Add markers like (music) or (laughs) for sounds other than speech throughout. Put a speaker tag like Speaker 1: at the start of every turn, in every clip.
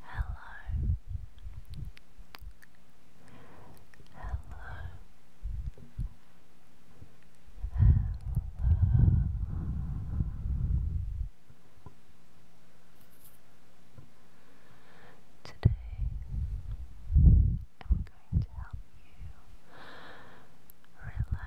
Speaker 1: Hello. Hello. Hello. Today I'm going to help you relax.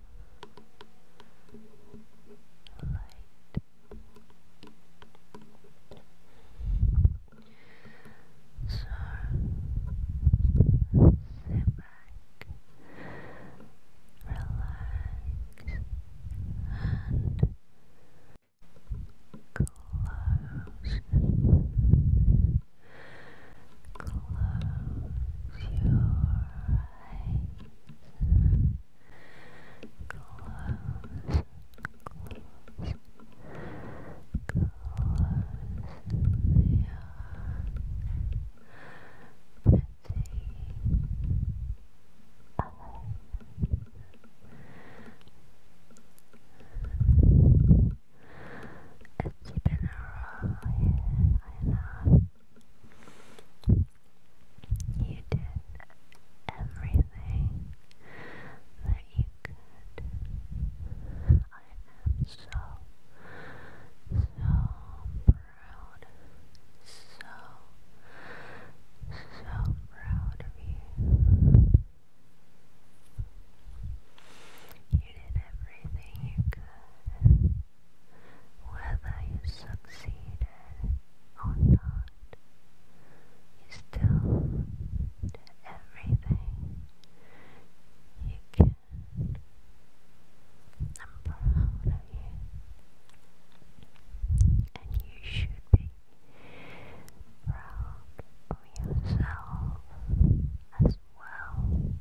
Speaker 1: So, sit back, relax, and close, close your eyes close, close, close, yeah, pretty it's been a while, yeah, I know. You did everything that you could. I am so, so proud. So, so proud of you. You did everything you could. Whether you succeeded or not, you still did everything you can. I'm proud of you, and you should be proud of yourself as well.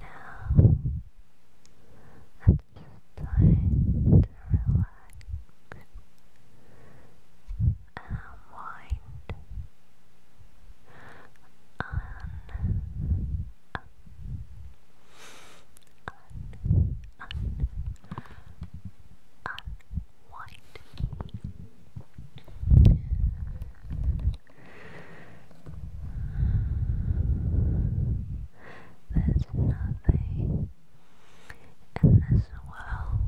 Speaker 1: Now it's time to relax unwind Un un un un there's nothing in this world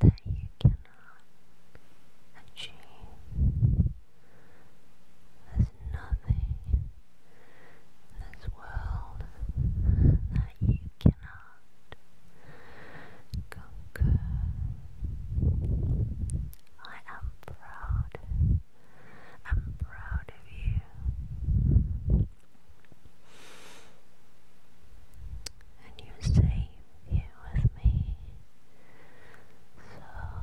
Speaker 1: that you cannot achieve. There's nothing in this world that you cannot conquer. I am proud. I'm proud of you. And you're safe with me. So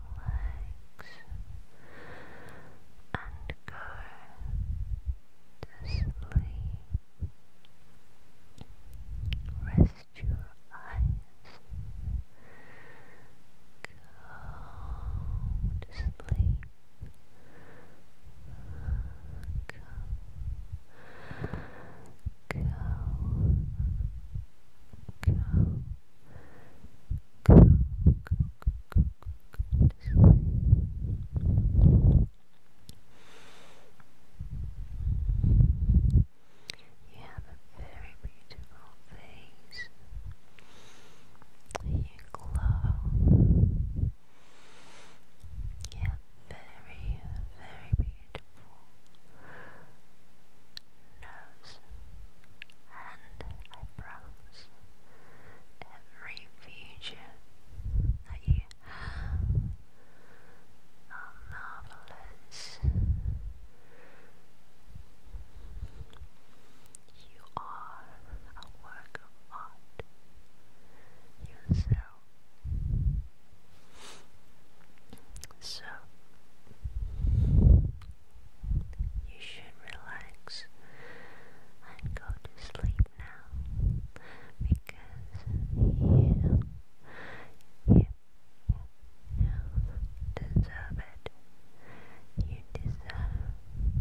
Speaker 1: legs and go to sleep. Rest your eyes. Go to sleep. Go. Go. Go. Go. Go this You have a very beautiful face. You glow. Yeah, very, very beautiful nose, and I every future that you have are marvelous. You are a work of art yourself. So, you should relax and go to sleep now because you, you, you deserve it. You deserve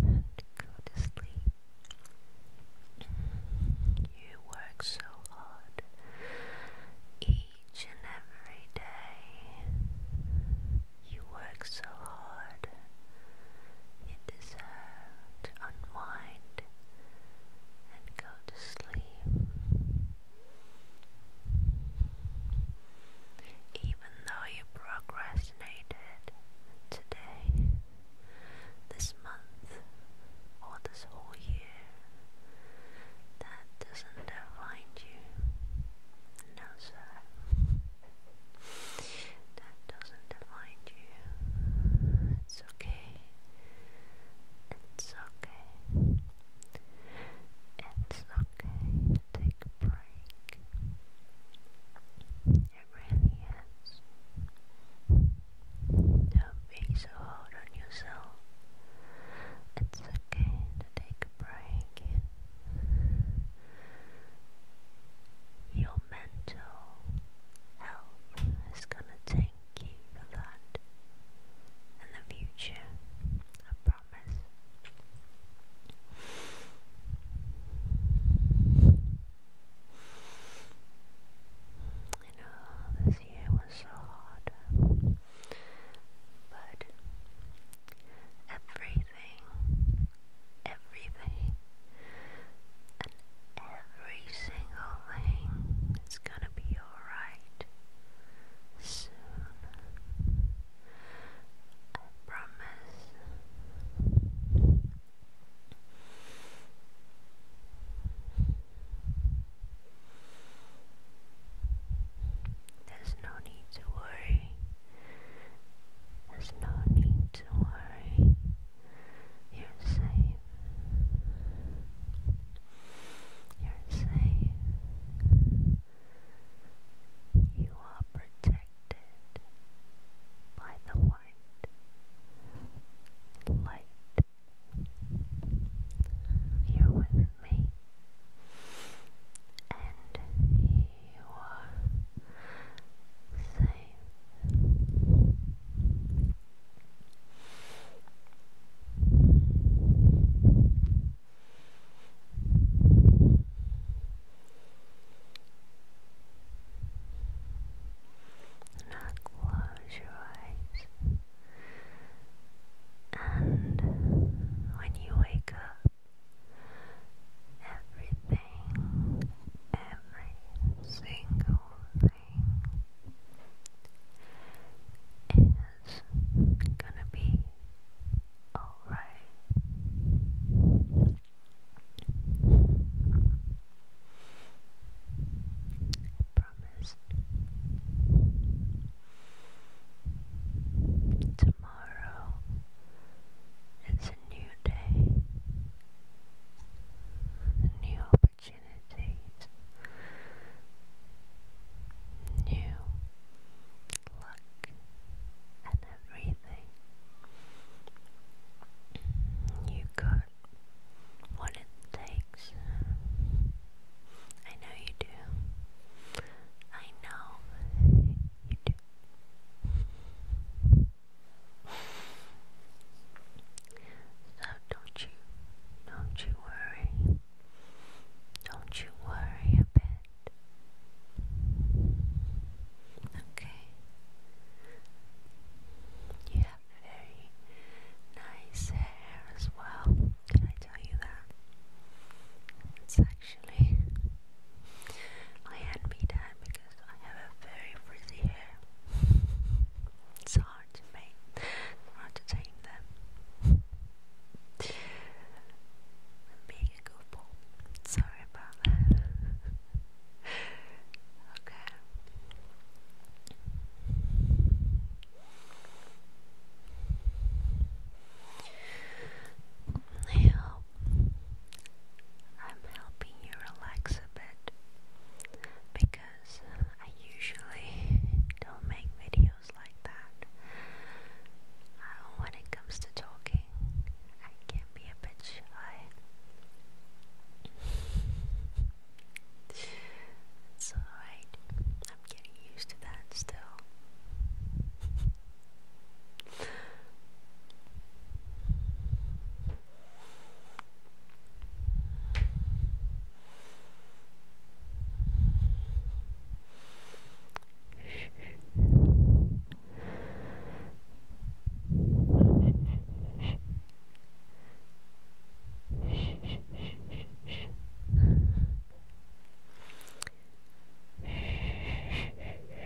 Speaker 1: and go to sleep. You work so hard each and every day you work so hard. You deserve to unwind and go to sleep. Even though you procrastinated today, this month, or this whole year, that doesn't define you. No, sir. That doesn't define you. It's okay. It's okay. It's okay. Take a break. It really is. Don't be so hard on yourself. It's okay to take a break. Your mental health is gonna thank you for in the future, I promise. You know, this year was so hard. But everything, everything, and every single thing is gonna be alright soon. I promise. There's no need to worry. There's no need to worry. You're safe. You're safe. You are protected by the white light.
Speaker 2: You're with me. And you are safe. Now close your eyes, and when you wake up, Everything, every single thing is gonna be alright. I promise tomorrow. It's a new day, new opportunities, new luck, and everything. You got what it takes I know you do. I know you do. So don't you, don't you worry. Don't you worry a bit. Okay. You have very nice hair as well tell you that. It's actually I had me that because I have very frizzy hair. It's hard to make, hard to tame them. being a goofball. Sorry about that. (laughs) okay. I am helping you relax a bit because I usually don't make videos like that. Uh, when it comes to talking, I can be a bit shy. (laughs) it's alright. I'm getting used to that still. It's the first day of the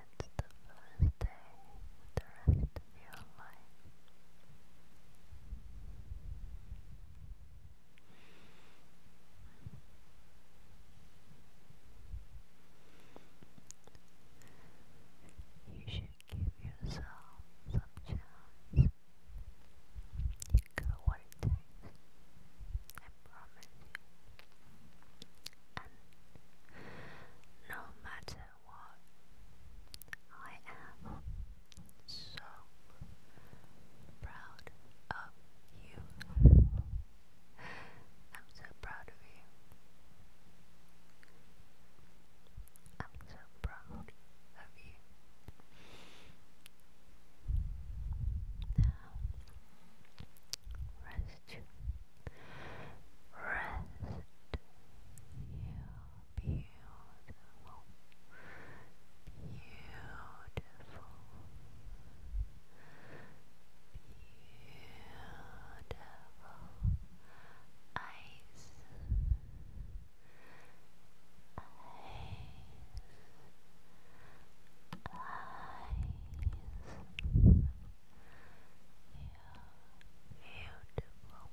Speaker 2: rest of your life. You give yourself some chance. You go what it takes. I promise you. And no matter what, I am so proud of you i so proud of you. I'm so proud of you. Now, rest Rest you, beautiful, beautiful, beautiful eyes, eyes, eyes. You're beautiful. Eyes.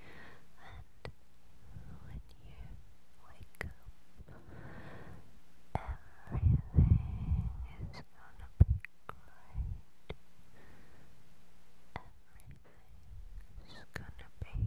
Speaker 2: And when you wake up, everything is gonna be great. Everything is gonna be brand